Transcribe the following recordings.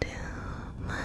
to my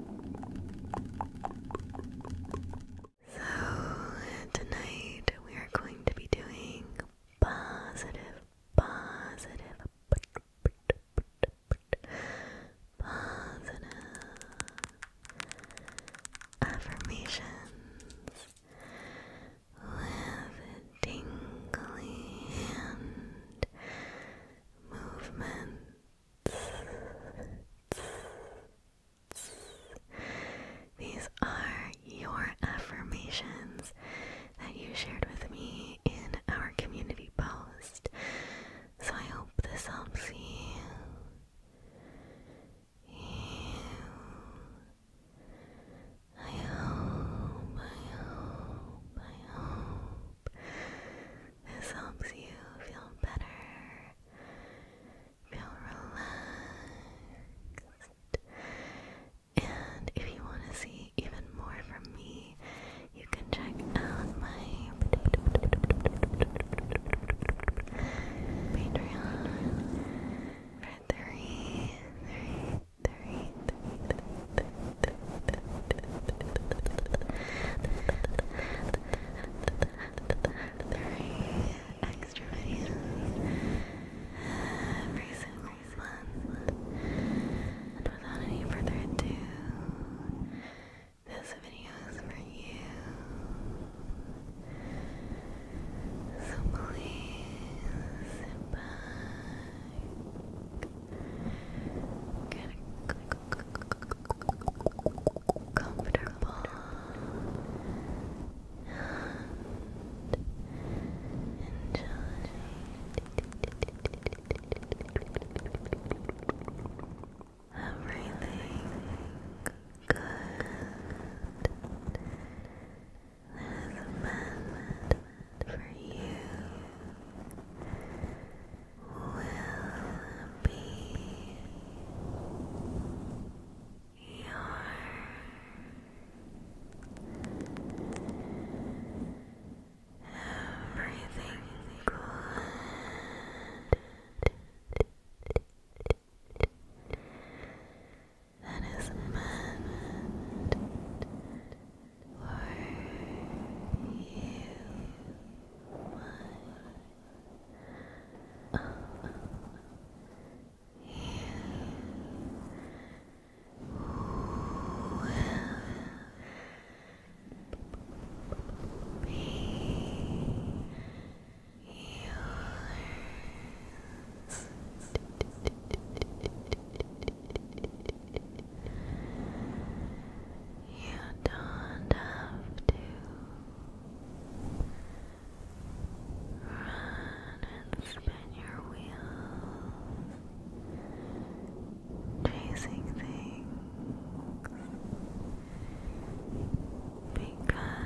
So, tonight we are going to be doing positive, positive, positive affirmations with tingly hand these are your affirmations that you shared with me in our community post. So I hope this helps you. I hope, I hope, I hope this helps you feel better, feel relaxed. And if you want to see even more from me, you can check out my Patreon for Three extra videos every single month. And without any further ado, this video is for you. So please sit Get comfortable enjoy. Everything good that is meant for you will be your everything good. That is meant for you, my oh, you will be yours. You don't have to run and spin your wheels chasing things because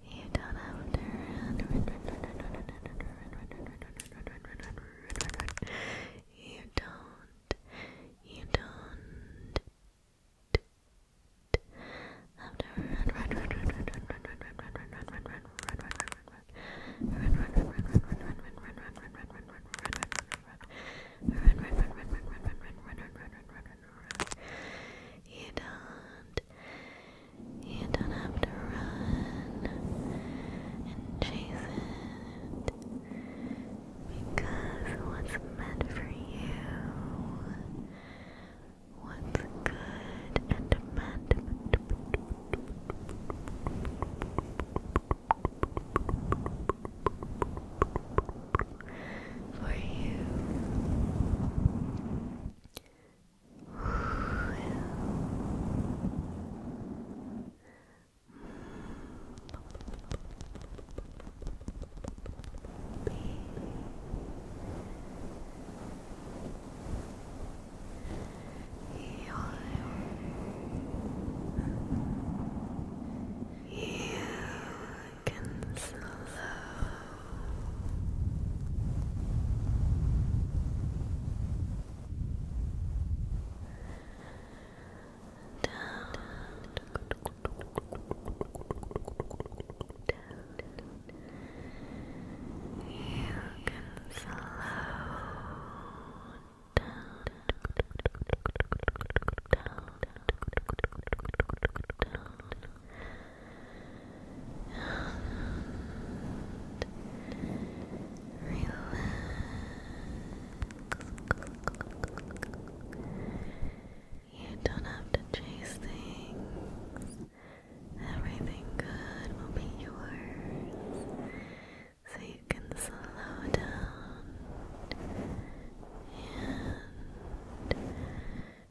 You don't have to run. You don't. You don't. Have to run, run, run, run, run, run, run, run, run, run, run, run, run, run, run, run, run, run, you don't. You don't have to run and chase it because what's meant for you, what's good and meant for you. Be you and slow. Down. You can slow Down relax. You don't have to chase things. Everything good will be yours. So you can slow down and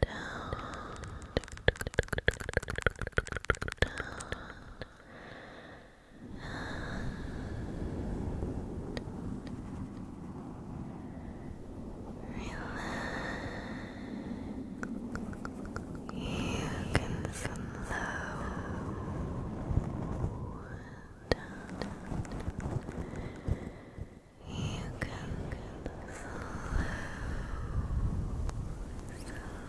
down, down, relax. You can slow down. You can slow, slow, slow. Down.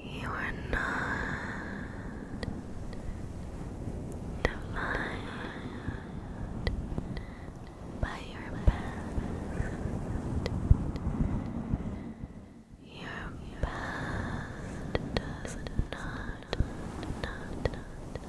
You are not defined by your past. Your past does not,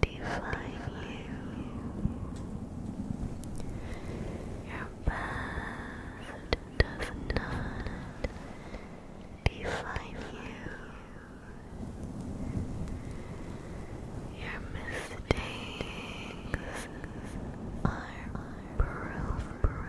define you. Your past does not define you. Your mistakes are proof,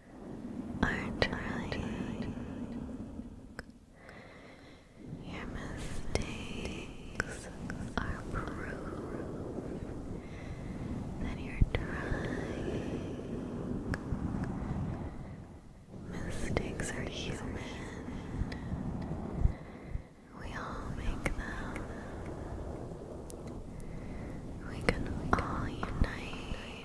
are trying your mistakes are proof that you're trying mistakes are human we all make them we can all unite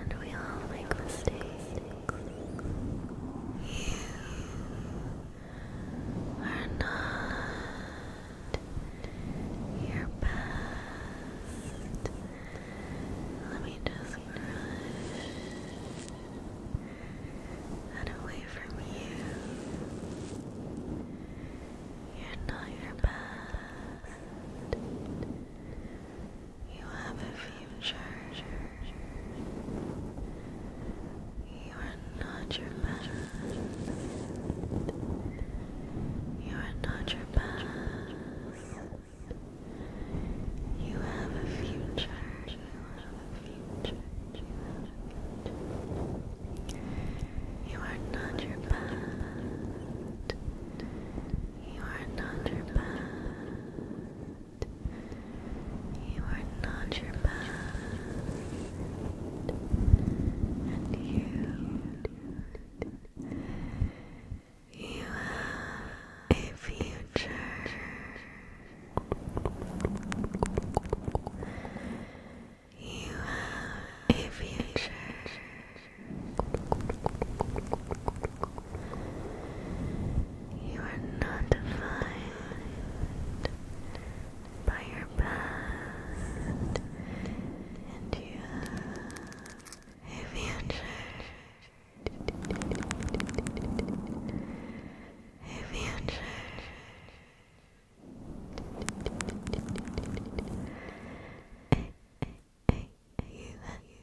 and we all make mistakes. You are not your best. Let me just brush away from you. You're not your best. You have a future. You are not your past. You are not your past. You have a future. You have a future. You have a future. You are not your past. You are not your bad. You are not your bad. And you, you have a future. You have a future. You are not defined by your past, and you have a future. A future. A, a, a, you, you, you,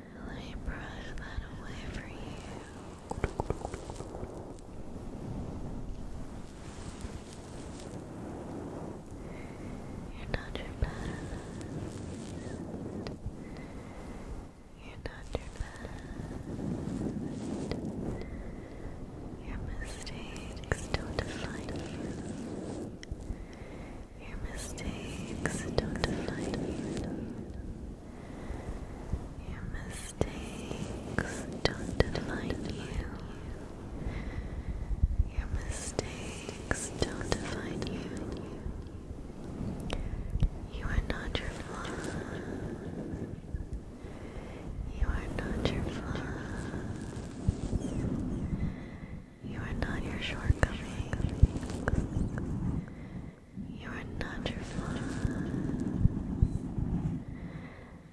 I me that away for you. You're not your best. You're not your best. Your mistakes don't define you. Your mistakes don't define you. Your mistakes don't define you. Your mistakes don't define you. You are not your flaw. You are not your flaw. You are not your shortcomings. You are not your flaws.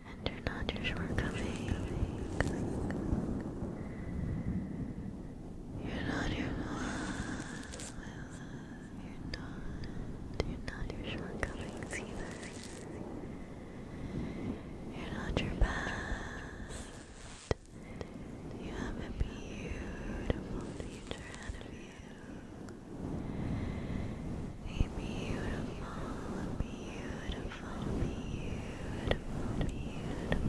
And you're not your shortcomings. You're not your flaws. You're not. You're not your shortcomings either. You're not your past. You have a beautiful future ahead of you. A beautiful, beautiful, beautiful, beautiful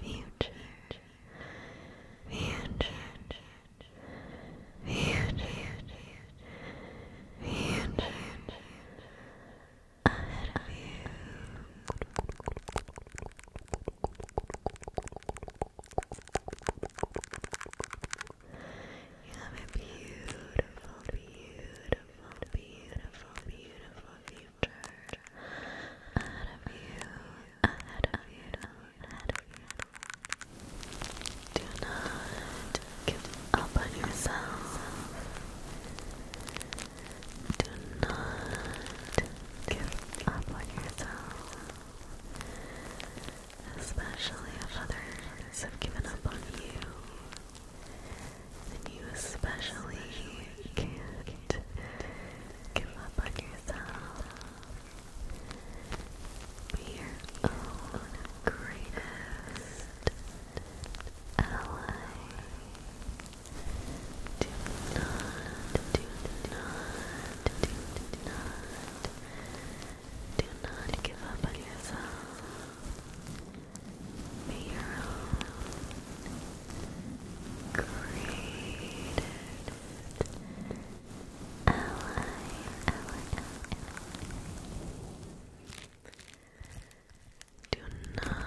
future. Future. Future. Future. Ahead of you. You have a beautiful, beautiful, beautiful, beautiful future ahead of you, ahead of you, ahead of you. Do not give up on yourself. Do not give up on yourself. Especially if others have given up on you. And you especially can't give up on yourself. Be your own greatest ally. Do not, do not, do not, do not give up on yourself. Be your own created ally, ally, ally. Do not,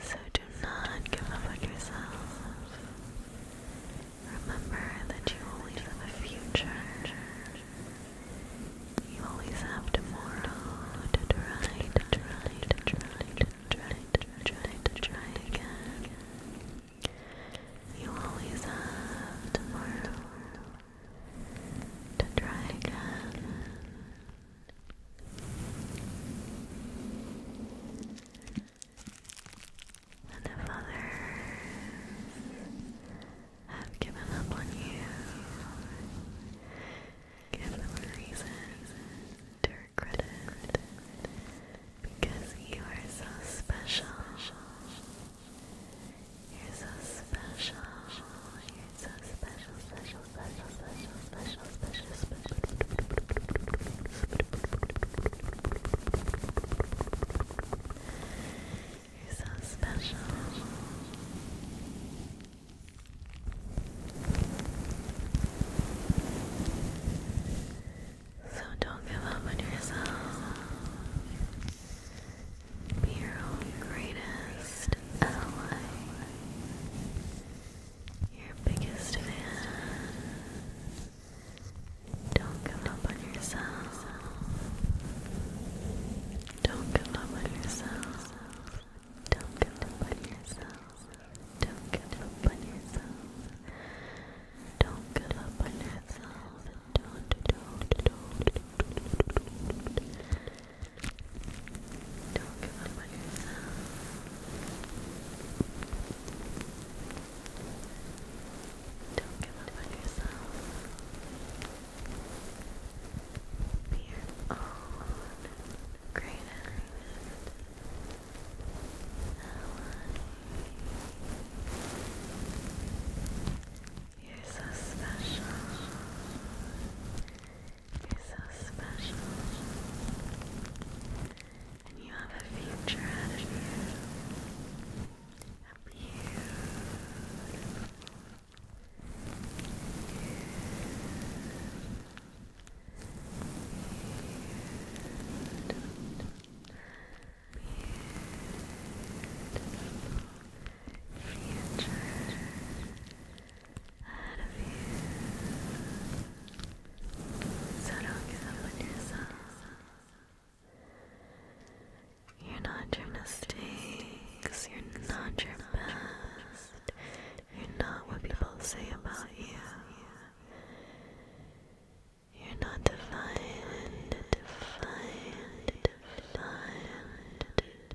so do not give up on yourself. Remember that you always have a future. You always have tomorrow to try, to try, to try, to try, to try, to try again. You always have tomorrow to try again. And if others have given up on you, give them to regret it because you are so special you're so special. You're so special, special, special, special, special, special, special. You're so special. So don't give up on yourself. Be your own greatest ally, your biggest fan. Don't give up on yourself. Don't give up on yourself. Don't give up on yourself. Don't give up on yourself. Don't give up on yourself. Don't give up on yourself. Don't give up on yourself. Be your own greatest ally. You're so special. You're so special. And you have a future ahead of you. beautiful, beautiful, beautiful, beautiful, future ahead of you. So don't give up on yourself. You're not your mistakes, you're not your past, you're not what people say about you. You're not defined, defined, defined,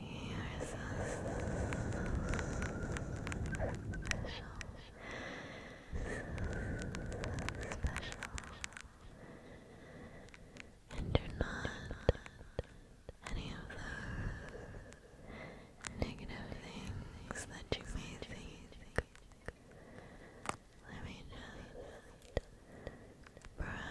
you're so, special. special. And you're not any of those negative things that you may think. Let me just brush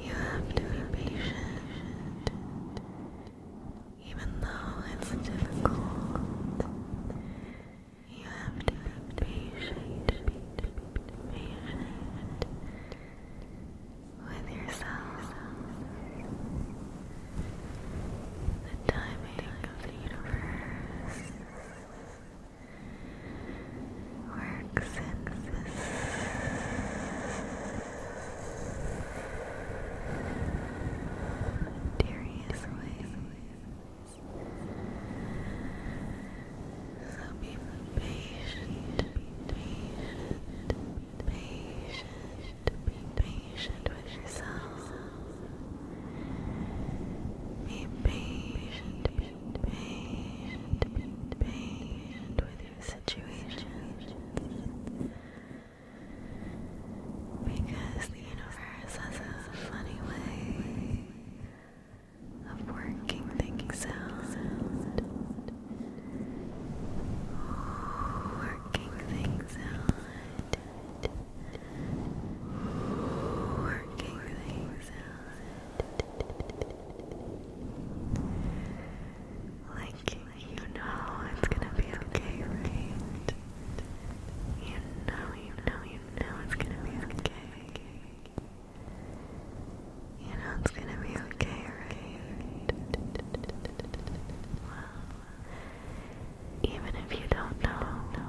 You have to be patient, even though it's difficult. You have to be patient, with yourself. The timing of the universe work senses. Darius ways. So be patient, patient, patient, patient with yourself. Be patient, be patient, patient with your situation. Because the universe has a funny way of working things out. Working things out working things out. Like, you know it's gonna be okay, right? You know, you know, you know it's gonna be okay. You know it's gonna be okay, right? even if you don't know,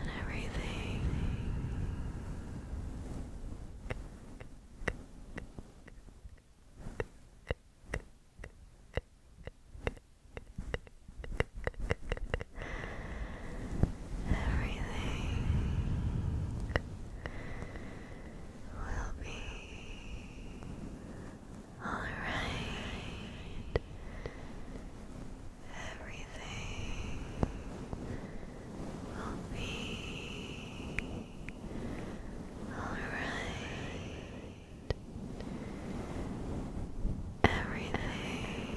and everything. Everything will be all right everything will be alright. Everything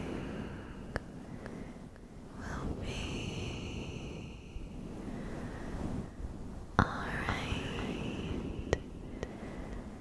will be alright.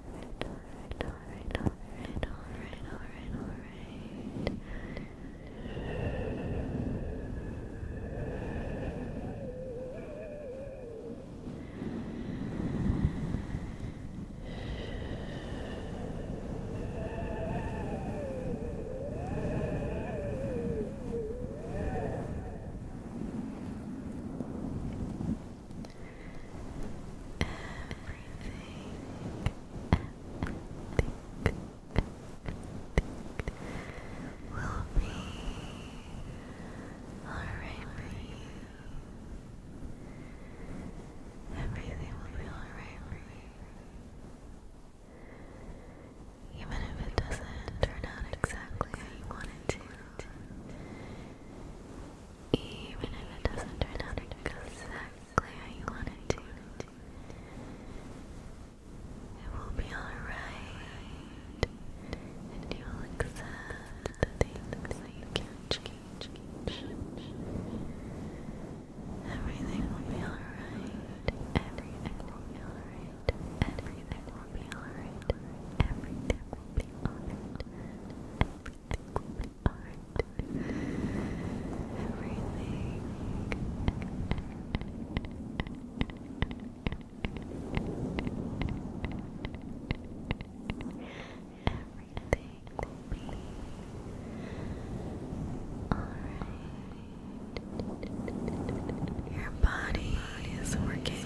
alright, alright, alright, alright, alright, alright, alright. Good everything will be alright for you. Everything will be alright for you. Even if it doesn't turn out exactly how you want it even if it doesn't turn out exactly how you want it to. It will be alright, and you'll accept the things that you can't change. Everything will be alright. Everything will be alright. Everything will be alright. Everything will be art. Everything Everything. Everything alright. Your body is working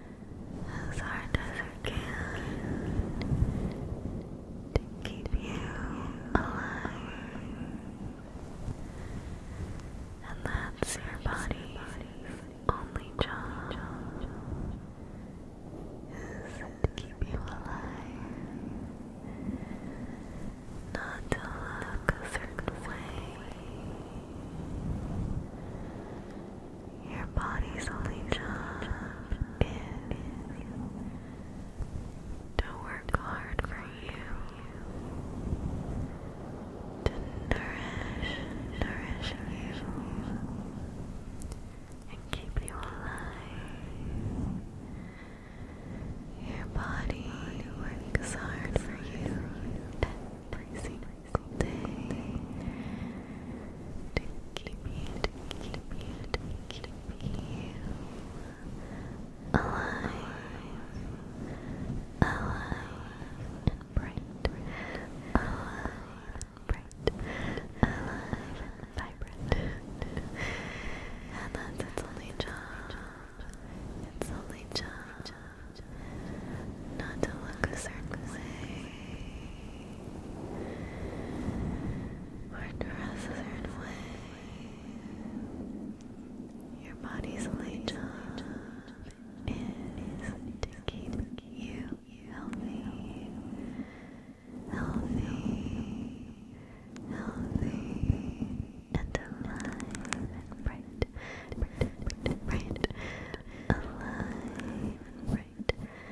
as hard as I can to keep you alive. And that's your body's only job is to keep you alive. Not to look a certain way. Your body's only job is to work hard for you, to nourish, nourish you, and keep you alive. Your body works hard for you every single day. Dinky me, dinky me, dinky me. Alive, alive and bright, alive and bright, alive and vibrant. and that's its only job. Its only job. Not to look a certain way, or dress a certain way. Your body's only job is to keep you healthy, healthy, healthy, and alive and bright, bright, bright. Alive and bright,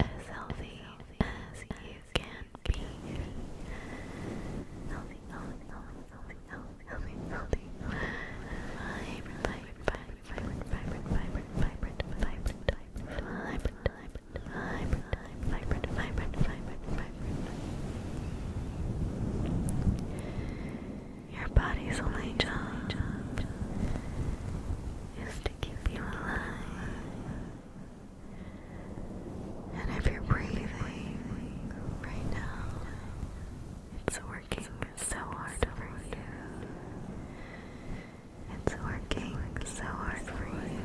as healthy as you can be. Healthy, healthy, healthy, healthy, healthy, healthy. Vibrant, vibrant, vibrant, vibrant, vibrant, vibrant, vibrant, vibrant, vibrant, vibrant, vibrant, vibrant, vibrant, vibrant. Your body's only job is to keep you alive. And if you're breathing right now, it's working so hard for you. It's working so hard for you.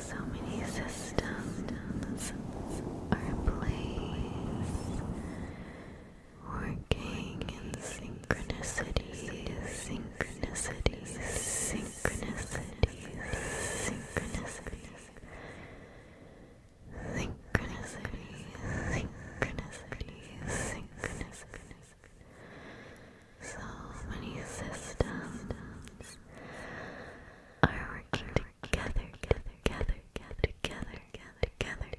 So many systems are in place working in synchronicity, synchronicity, synchronicity, synchronicity, synchronicity, synchronicity, synchronicity. So many systems are working together, together, together, together, together, together,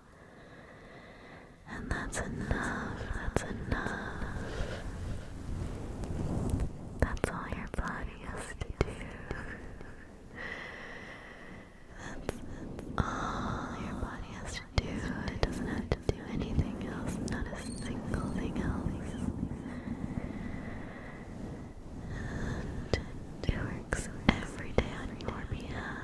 And that's enough, that's enough. That's all your body has to do. That's, all your body has to do. It doesn't have to do anything else, not a single thing else. And it works every day on your behalf.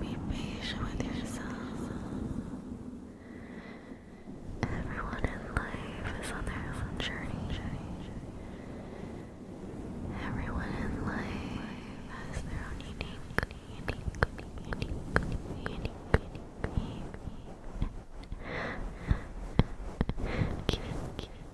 Be patient with yourself. Everyone in life is on their own journey. Everyone in life has their own unique, unique, unique, unique, unique, unique.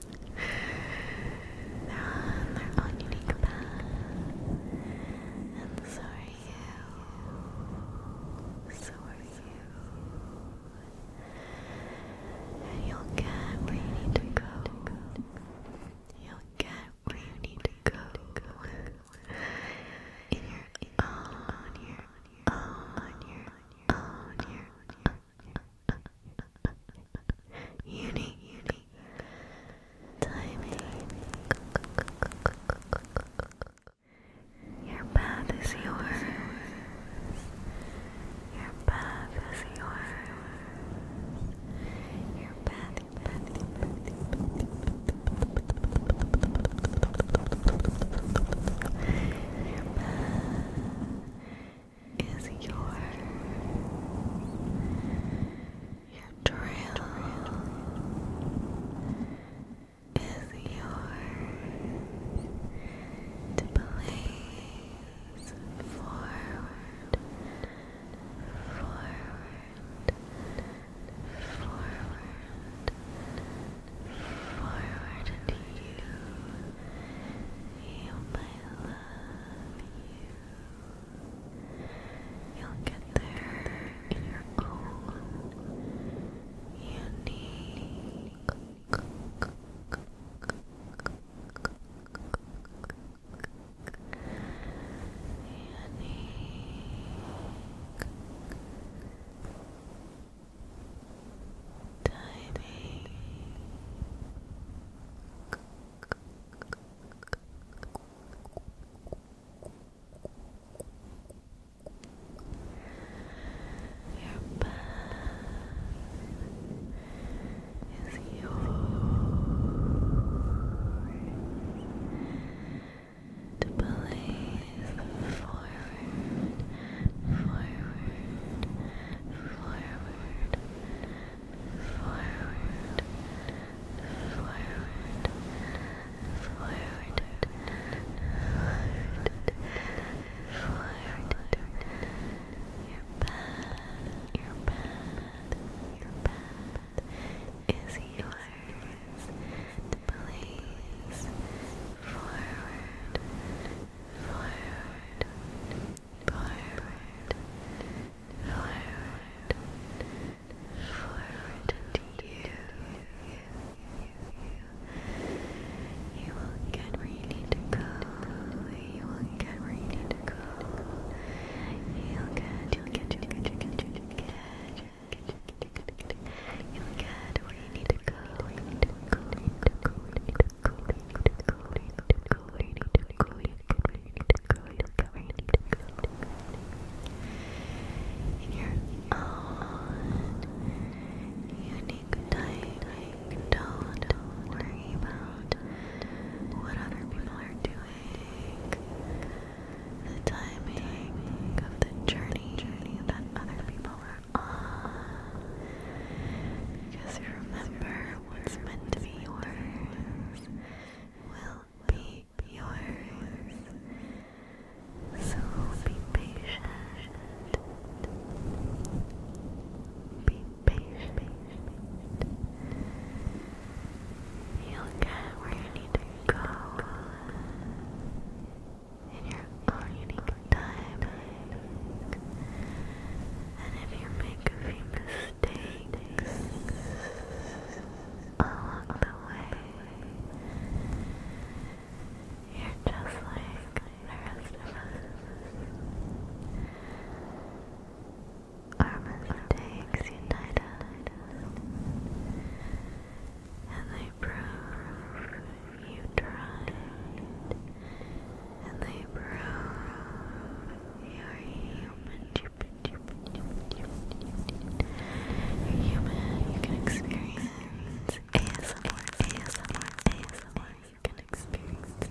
They're on their own unique path, and so are you. So are you. And you'll get where you need to go. You'll get where you need to go. In your own, on your own. Uni, uni. Timing. Your path is yours. Your path is yours. Your path, path, path, path, path, path. Your path is yours. Your trail is yours to forward, forward, forward, forward into you, my love you. You'll get there in your own unique Tiny back is yours to place forward, forward, forward forward, forward, forward, forward, your path, your path, your path is yours to forward, forward, forward, forward, forward into you. You, you, you. you will get where you need to go. You will get where you need to go. You'll get, you'll get, you'll get, you'll get, you'll get, you'll get you need to go. you need to go in your own unique time. Don't worry about what other people are doing. The timing of the journey that other people are on. Just remember what's meant to be yours will be yours. So be patient. Be patient. You'll get where you need to go in your own unique time. And if you make a few mistakes along the way, you're just like the rest of us. Our mistakes unite us, and they prove you tried and they prove you're human. you can experience ASMR, ASMR, ASMR. You can experience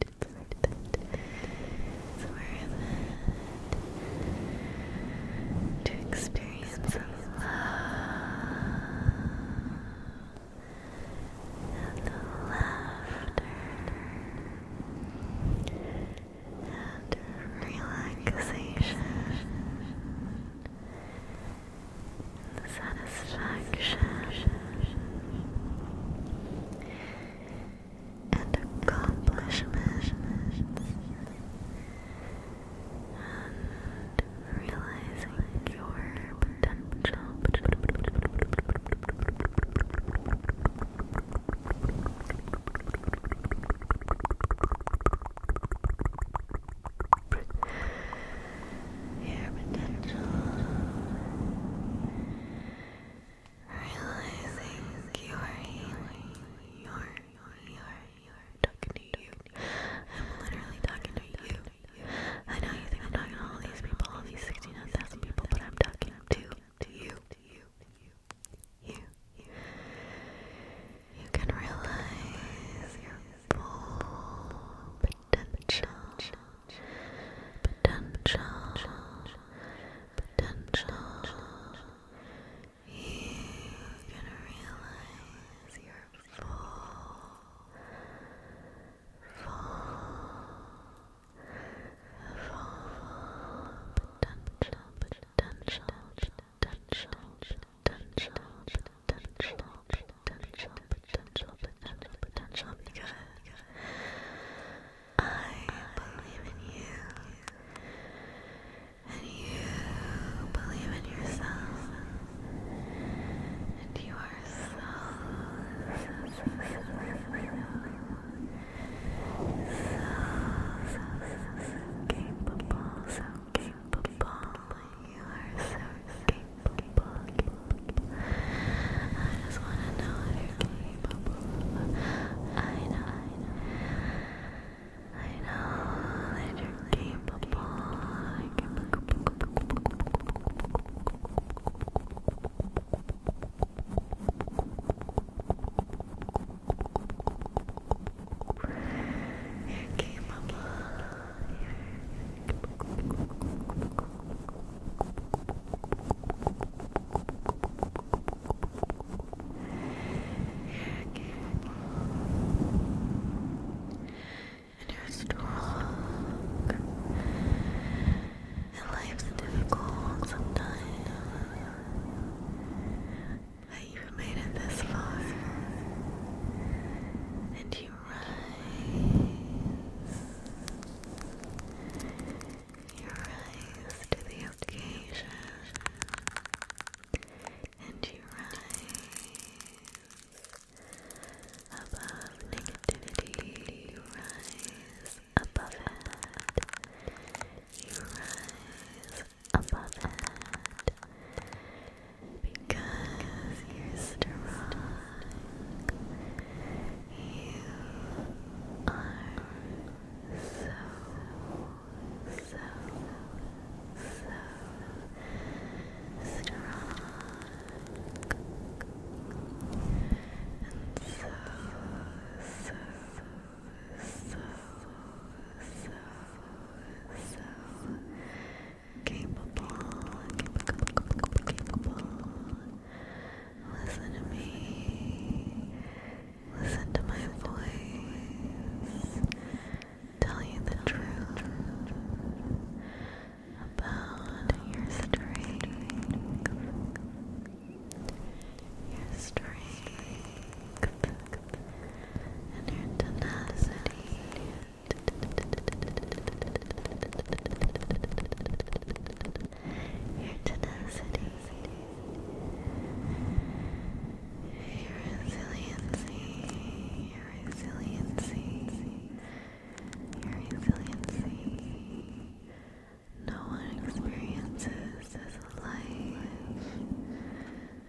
it's worth to experience some love and laughter and relaxation and satisfaction and accomplishments and realizing your potential. Your potential realizing you are You're, you're, you're, talking to you. I'm literally talking to you. I know you think I'm talking to all these people, all these 69,000 people, but I'm talking to, to you. You. You can realize your full potential potential, potential. You can realize your full, full, full potential, potential, potential, potential, potential, potential, potential, potential, potential, because. I believe in you, and you believe in yourself, and you are so, so, so, so, so, so, so capable, so capable. You are so capable. I just wanna know if you're capable. I know, I know, I know that you're capable. You're capable. And you're strong. And life's difficult sometimes. But you've made it this far. And you rise. You rise to the occasion, and you rise above negativity. You rise above it. You rise above it because you're strong. You are so, so, so strong and so, so, so, so, so capable, capable, capable, capable Listen to me. Listen to my voice. Tell you the truth about your strength. Your strength and your tenacity your tenacity, your resiliency, your resiliency, your resiliency. No one experiences this life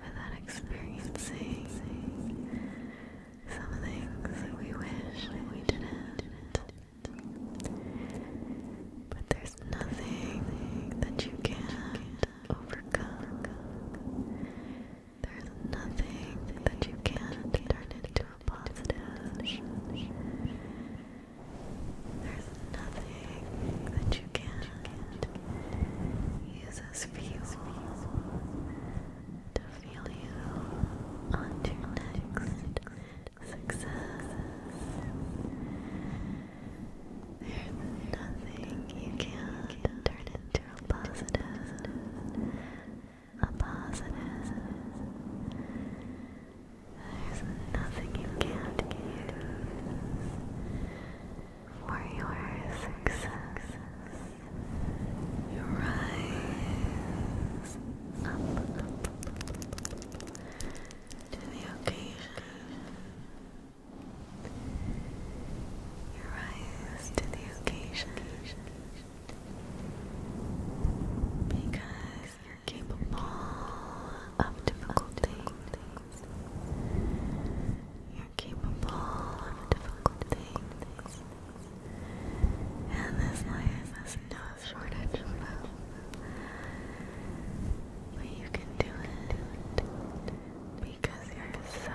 without experiencing some things that we wish we didn't. But there's nothing that you can't overcome. There's nothing that you can turn into a positive. There's nothing that you can use as fuel to feel you on your next success. There's nothing you can't turn into a positive, a positive. There's nothing you can't use for your success. You rise up, up, to the occasion. You rise to the occasion because you're capable of difficult things. You're capable of difficult things. And this life has no a shortage But you can do it because you're so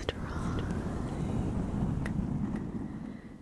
strong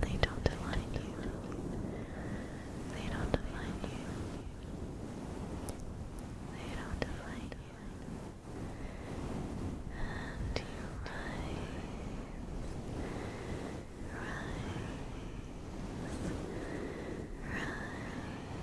they don't define you. They don't define you. They don't define you. And you rise, rise, rise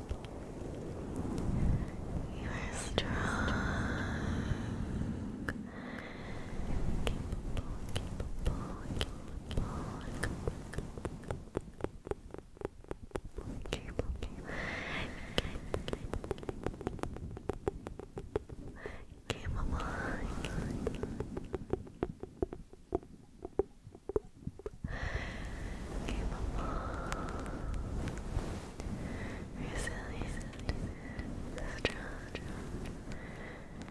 you are strong, capable, capable, capable, capable, capable, capable, capable, capable, capable, resilient, strong,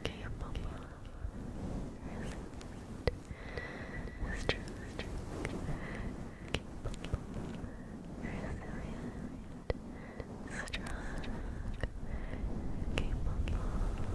capable, resilient, strong, capable, resilient, strong, capable.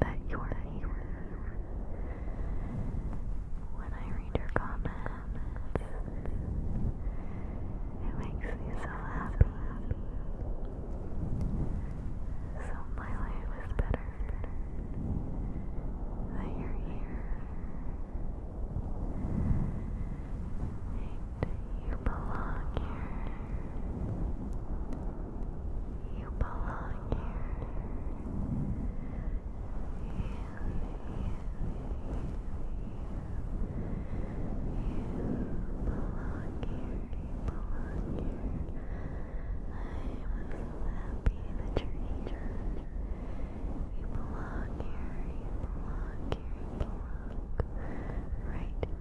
that you're here. When I read your comments, it makes me so happy. So my life is better that you're here. And you belong here. You belong here. You, you, you, you belong here. You belong here. I'm so happy that you're here. You belong here. You belong here. You belong. right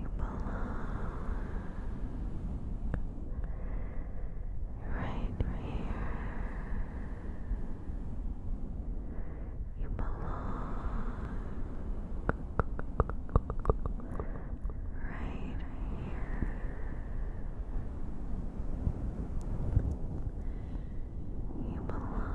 You belong right here. You belong right here. You belong.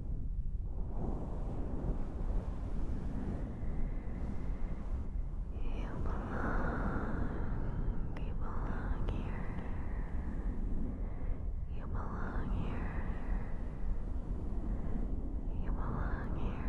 You belong, you belong here. You belong here. You belong here.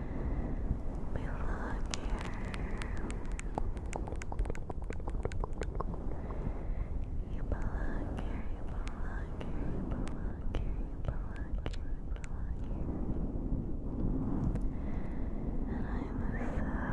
me here. You belong here, you belong here, you belong here, you belong here, you belong here. And I'm so happy.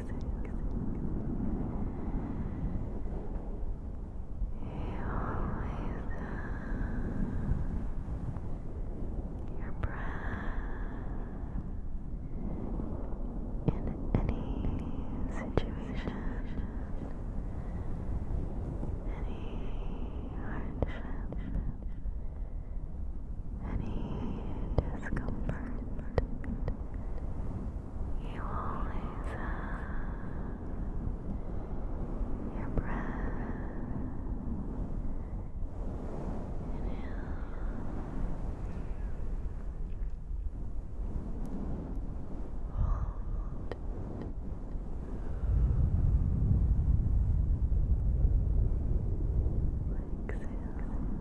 your breath in any situation, any hardship, any discomfort. You always have your breath. Inhale. Hold. Exhale.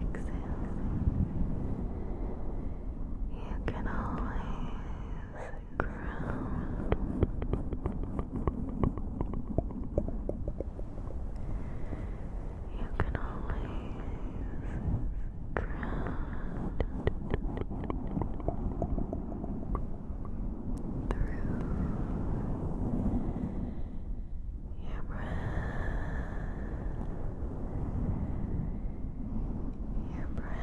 Exhale. You can always ground. You can always ground through your breath, your breath. Your breath,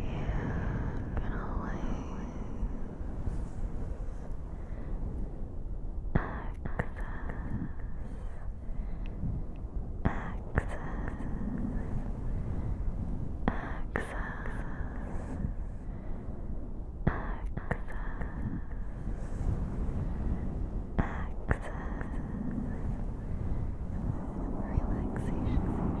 You can always access, access, access, access. Access, relaxation through your breath.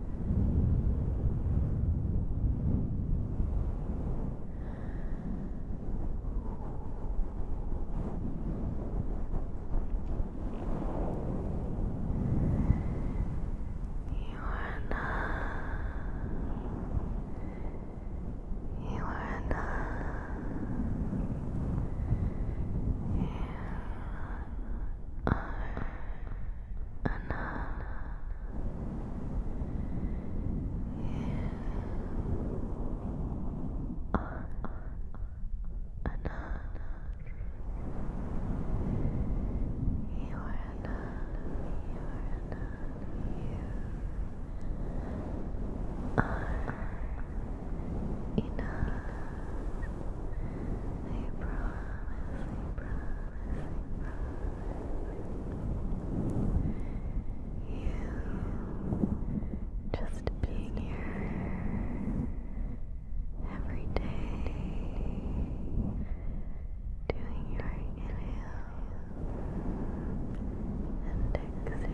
You are not. You are not. You are. Anna. You enough. You are enough. You are enough. You are enough. I promise, I promise. You just being here every day. Doing your inhale and exhale.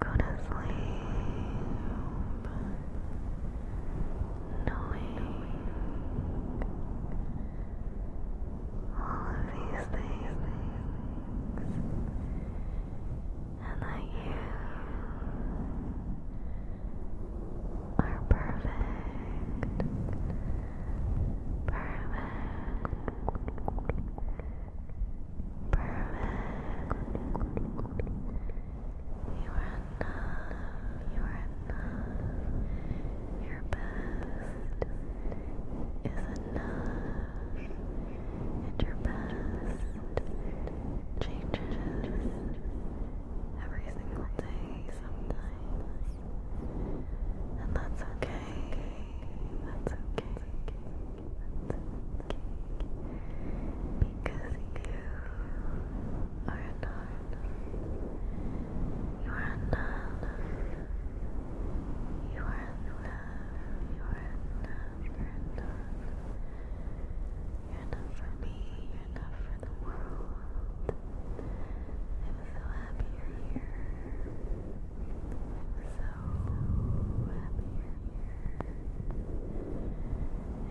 Going to sleep, knowing all of these things, and that you are perfect, perfect. You are enough. You are enough. Your best is enough. And your best changes every single day sometimes. And That's okay. That's okay because you are not. You are enough. You are enough. You are enough. You're enough. You're enough for me. You're enough for the world. I'm so happy you're here so happy. And you're enough. You are enough.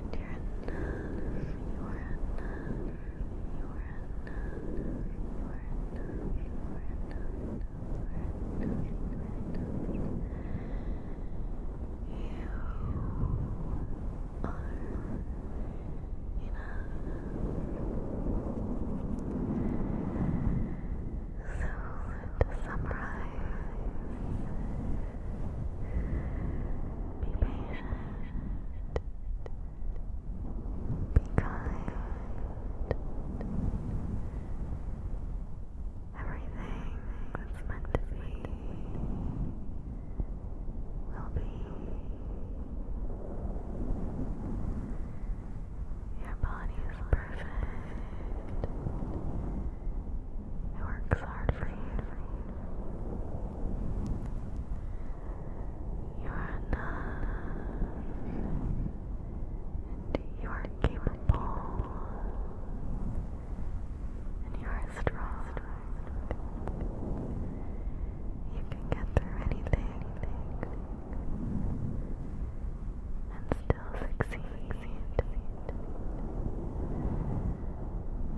You are enough. You are enough. You are enough. You are enough. You You are enough. So to summarize, be patient, be kind. Everything that's meant to be will be. Your body is perfect. It works hard for you. You are enough. And you are capable. And you are strong. You can get through anything still succeed.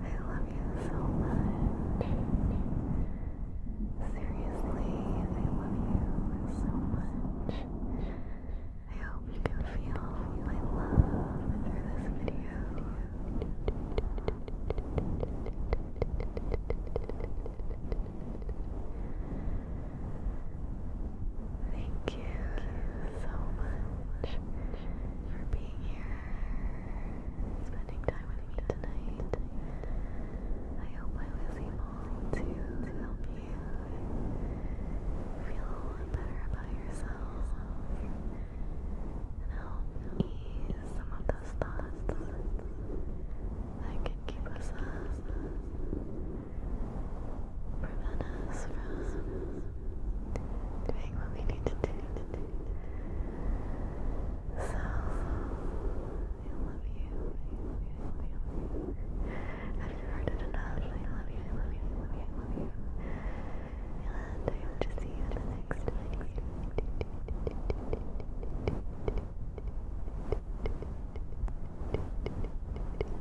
I love you so much. Seriously, I love you so much. I hope you can feel my love through this video. Thank you so much for being here, spending time with me tonight. I hope I was able to help you feel better about yourself and help ease some of those thoughts that can keep us up prevent us from doing what we need to do. So, I love you. Have you heard it enough? I love you. I love you. I love you. I love you. And I hope to see you the next time